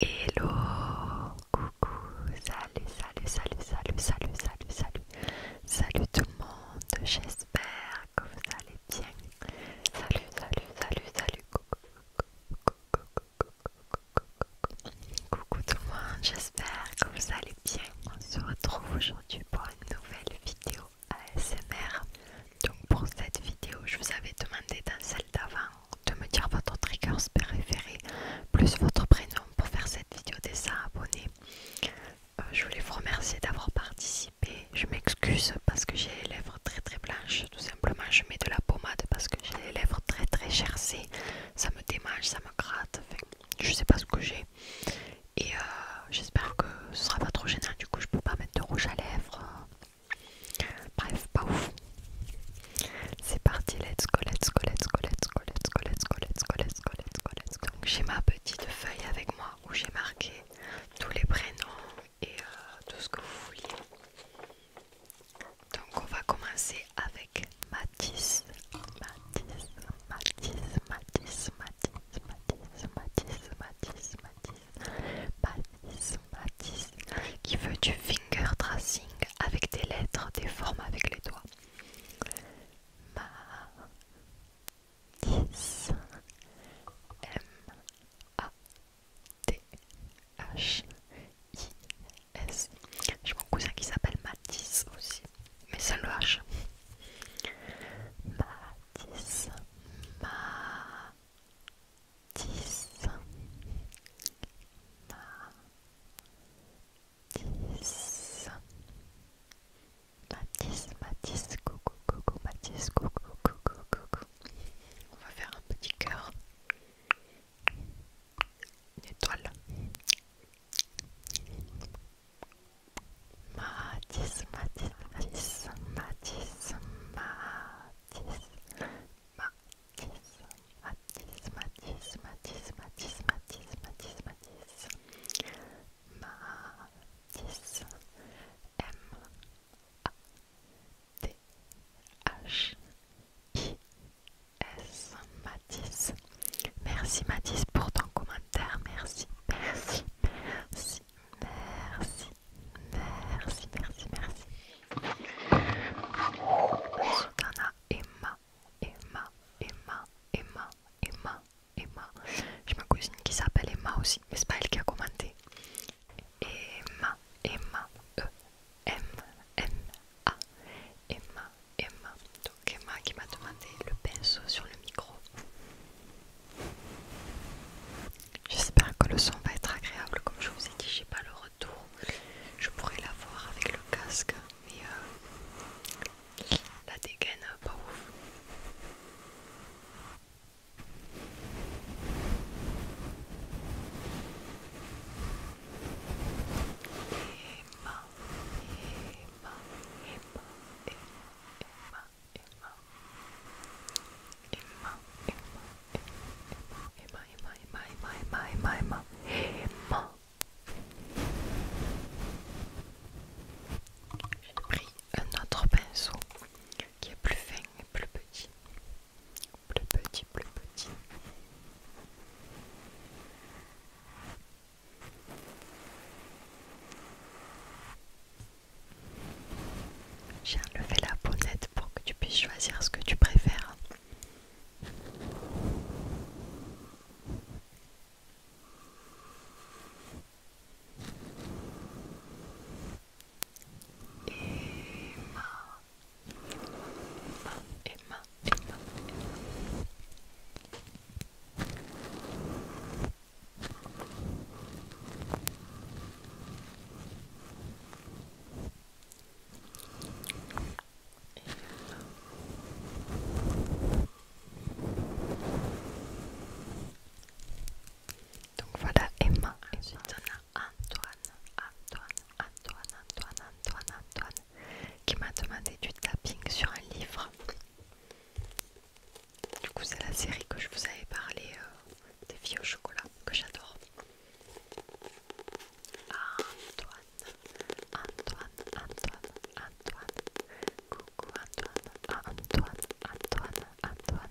Hello, coucou, salut, salut, salut, salut, salut, salut, salut, salut tout le monde, j'espère que vous allez bien. Salut, salut, salut, salut, coucou, coucou, coucou, coucou, coucou tout le monde, j'espère que vous allez bien. On se retrouve aujourd'hui pour une nouvelle vidéo ASMR. Donc pour cette vidéo, je vous avais demandé dans celle d'avant de me dire votre trigger préféré plus votre prénom pour faire cette vidéo des 100 abonnés. Euh, je voulais vous remercier d'avoir participé. Je m'excuse parce que j'ai les lèvres très très blanches. Tout simplement, je mets de la pommade parce que j'ai les lèvres très très chercées Ça me démange, ça me gratte. je sais pas ce que j'ai. Et euh, j'espère que ce sera pas trop gênant. Du coup, je peux pas mettre de rouge à lèvres. Bref, pas ouf. C'est parti, let's go, let's go, let's go, let's go, let's go, let's go, let's go, let's go, let's go, Donc j'ai ma petite feuille avec moi où j'ai marqué tous les prénoms et euh, tout ce que vous voulez. Donc on va commencer avec Matisse Matisse, Matisse, Matisse, Matisse, Matisse, Matisse, Matisse, Matisse Matisse, qui veut du finger tracing avec des lettres, des formes avec les doigts. Matisse, M-A-T-H-I-S. J'ai mon cousin qui s'appelle Matisse aussi, mais c'est le H. Matisse, Matisse. 10 matisse Mathis, coucou, coucou, matisse coucou, coucou, coucou. On va faire un petit cœur. Une étoile. matisse matisse Mathis, matisse matisse Matisse, Matisse, Matisse, Matisse, Matisse, Matisse, Matisse, Matisse, Matisse, M, A, T, H, I, S, Matisse. Merci Matisse pour ton commentaire, merci, merci, merci, merci, Merci, merci, merci. Ensuite, on a Emma, Emma, Emma, Emma, Emma, Emma. J'ai ma cousine qui s'appelle Emma aussi, mais c'est pas elle qui a commenté. Emma, Emma, E, M, M, A, Emma, Emma. Donc Emma qui m'a demandé le pinceau sur le micro. J'espère que le son va être agréable. Comme je vous ai dit, j'ai pas le retour. Je pourrais l'avoir avec le casque, mais euh, la dégaine euh, pas ouf. Emma, Emma, Emma, Emma, Emma, J'ai pris un autre pinceau qui est plus fin et plus petit. Plus petit, plus petit. J'ai enlevé la bonnette pour que tu puisses choisir ce que tu préfères. Donc voilà Emma. Ensuite on a Antoine, Antoine, Antoine, Antoine, Antoine, Antoine qui m'a demandé du tapping sur un livre. Du coup, c'est la série que je vous avais parlé euh, des filles au chocolat que j'adore. Antoine, Antoine, Antoine, Antoine. Coucou Antoine, Antoine, Antoine, Antoine.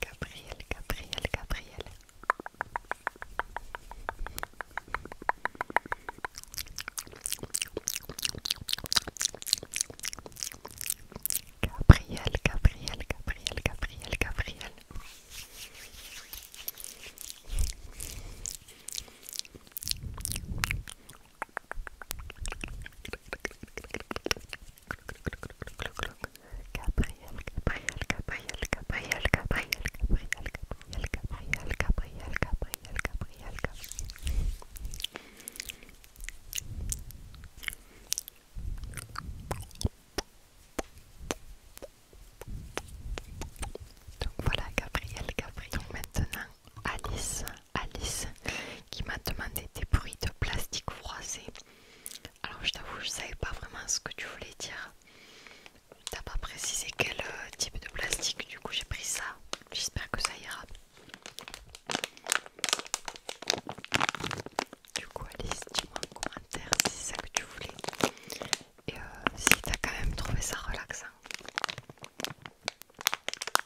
Gabriel, Gabriel, Gabriel. Gabriel, Gabriel, Gabriel, Gabriel, Gabriel. Gabriel, Gabriel, Donc voilà Gabriel, Gabriel. maintenant Alice Alice qui m'a demandé des bruits de plastique froissé. Alors je t'avoue, je savais pas vraiment ce que tu voulais dire. T'as pas précisé quel euh, type de plastique, du coup j'ai pris ça. J'espère que ça ira. Du coup Alice, dis-moi en commentaire si c'est ça que tu voulais. Et euh, si t'as quand même trouvé ça relaxant.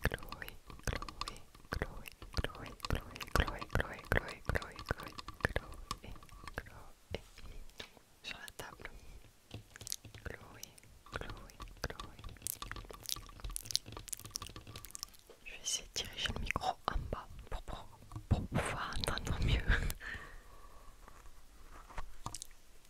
Chloé, Chloé, Chloé, sur la table. Chloé, Chloé, Chloé. Je vais essayer de diriger le micro en bas pour, pour pouvoir entendre mieux.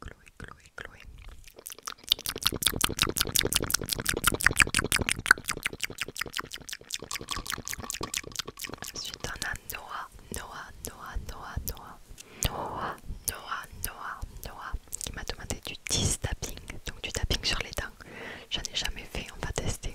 Chloé, Chloé, Chloé. Ensuite on a Noah, Noah, Noah, Noah, Noah, Noah, Noah, Noah, Noah, qui m'a demandé du 10 tapping, donc du tapping sur les dents. J'en ai jamais fait, on va tester.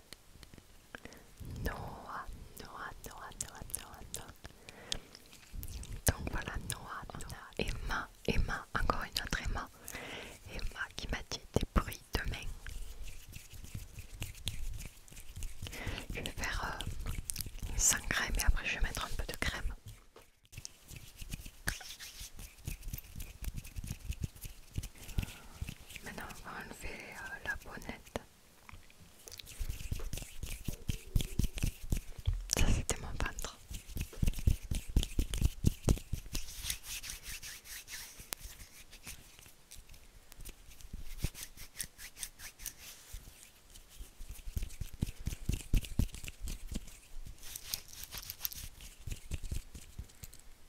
Noah, Noah, Noah, Noah, Noah, Donc voilà, Noah, on a Emma, Emma, encore une autre Emma. Emma qui m'a dit des bruits de main. Je vais faire euh, sans crème et après je vais mettre un peu de crème. Maintenant, on va enlever euh, la bonnette. Ça, c'était mon peintre.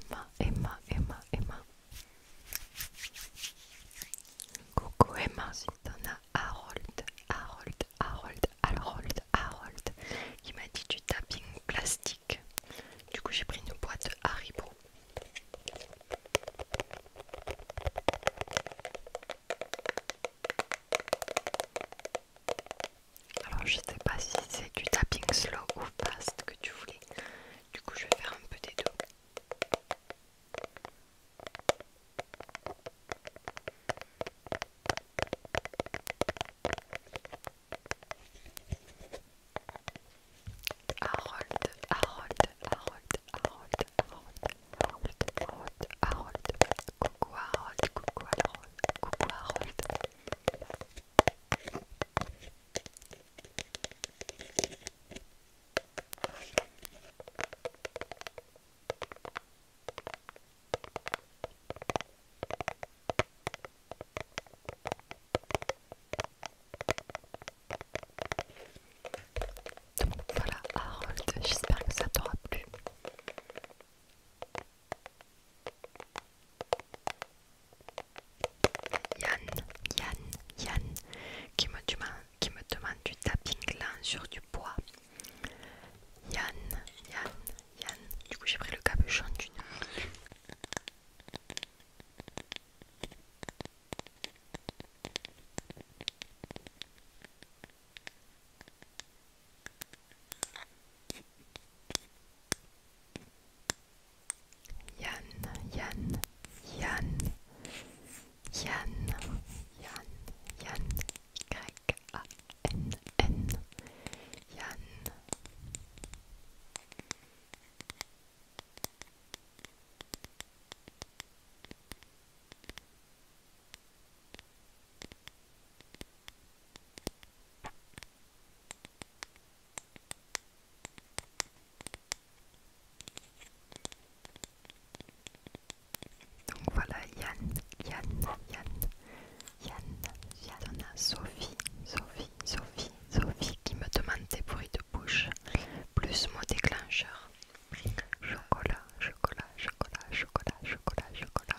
Emma, Emma, Emma, Emma. Coucou Emma, ensuite t'en a Harold, Harold, Harold, Harold, Harold, qui m'a dit du tapping plastique. Du coup, j'ai pris une boîte Haribo. Alors je sais pas si c'est du tapping slow ou fast que tu voulais. Du coup je vais faire un peu des deux. Harold, Harold, Harold, Harold, Harold, Harold, Harold, Harold, coucou Harold, coucou Harold, coucou Harold. Donc voilà Harold, j'espère que ça t'aura plu. Yann, Yann, Yann, qui me demande, qui me demande du tapping lent sur du bois. Yann, Yann, Yann. Du coup, j'ai pris le capuchon d'une. jan jan jan jan jn jan kræk a n nj Donc voilà Yann, Yann, Yann, Yann, Yann, Sophie, Sophie, Sophie, Sophie qui me demande des bruits de bouche, plus mon déclencheur. Chocolat, chocolat, chocolat, chocolat, chocolat, chocolat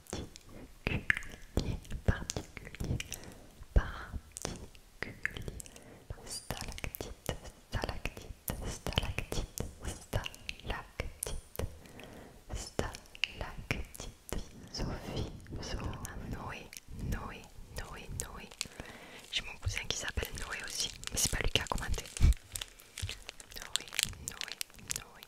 particulier, particulier, particulier, stalactite, stalactite, stalactite, stalactite, stalactite, Sophie, Sophie, Noé, Noé, Noé, Noé. J'ai mon cousin qui s'appelle Noé aussi, mais c'est pas lui qui a commenté. Noé, Noé, Noé,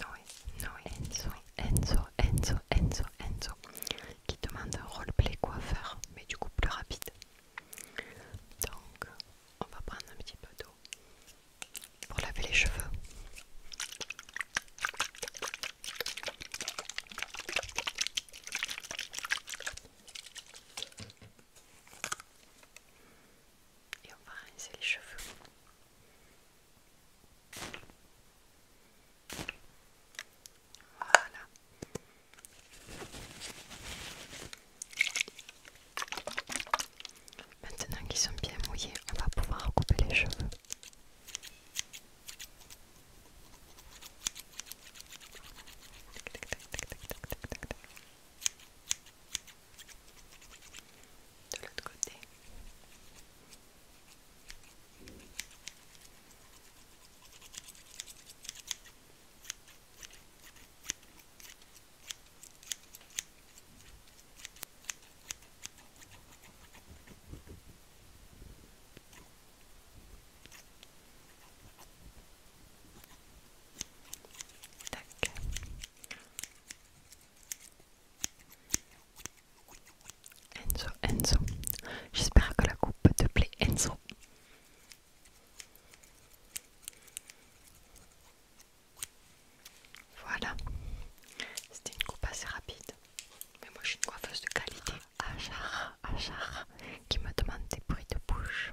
Noé, Noé, Enzo, Enzo, Enzo, Enzo, Enzo, qui demande un roleplay coiffeur, mais du coup plus rapide. Donc, on va prendre un petit peu d'eau pour laver les cheveux. Et on va rincer les cheveux. Voilà. Maintenant qu'ils sont bien mouillés, on va pouvoir couper les cheveux de l'autre côté. Tac. Enzo, Enzo. J'espère que la coupe te plaît, Enzo. Voilà. C'était une coupe assez rapide. Mais moi, je suis une coiffeuse de qualité. Achar, Achar, qui me demande des bruits de bouche.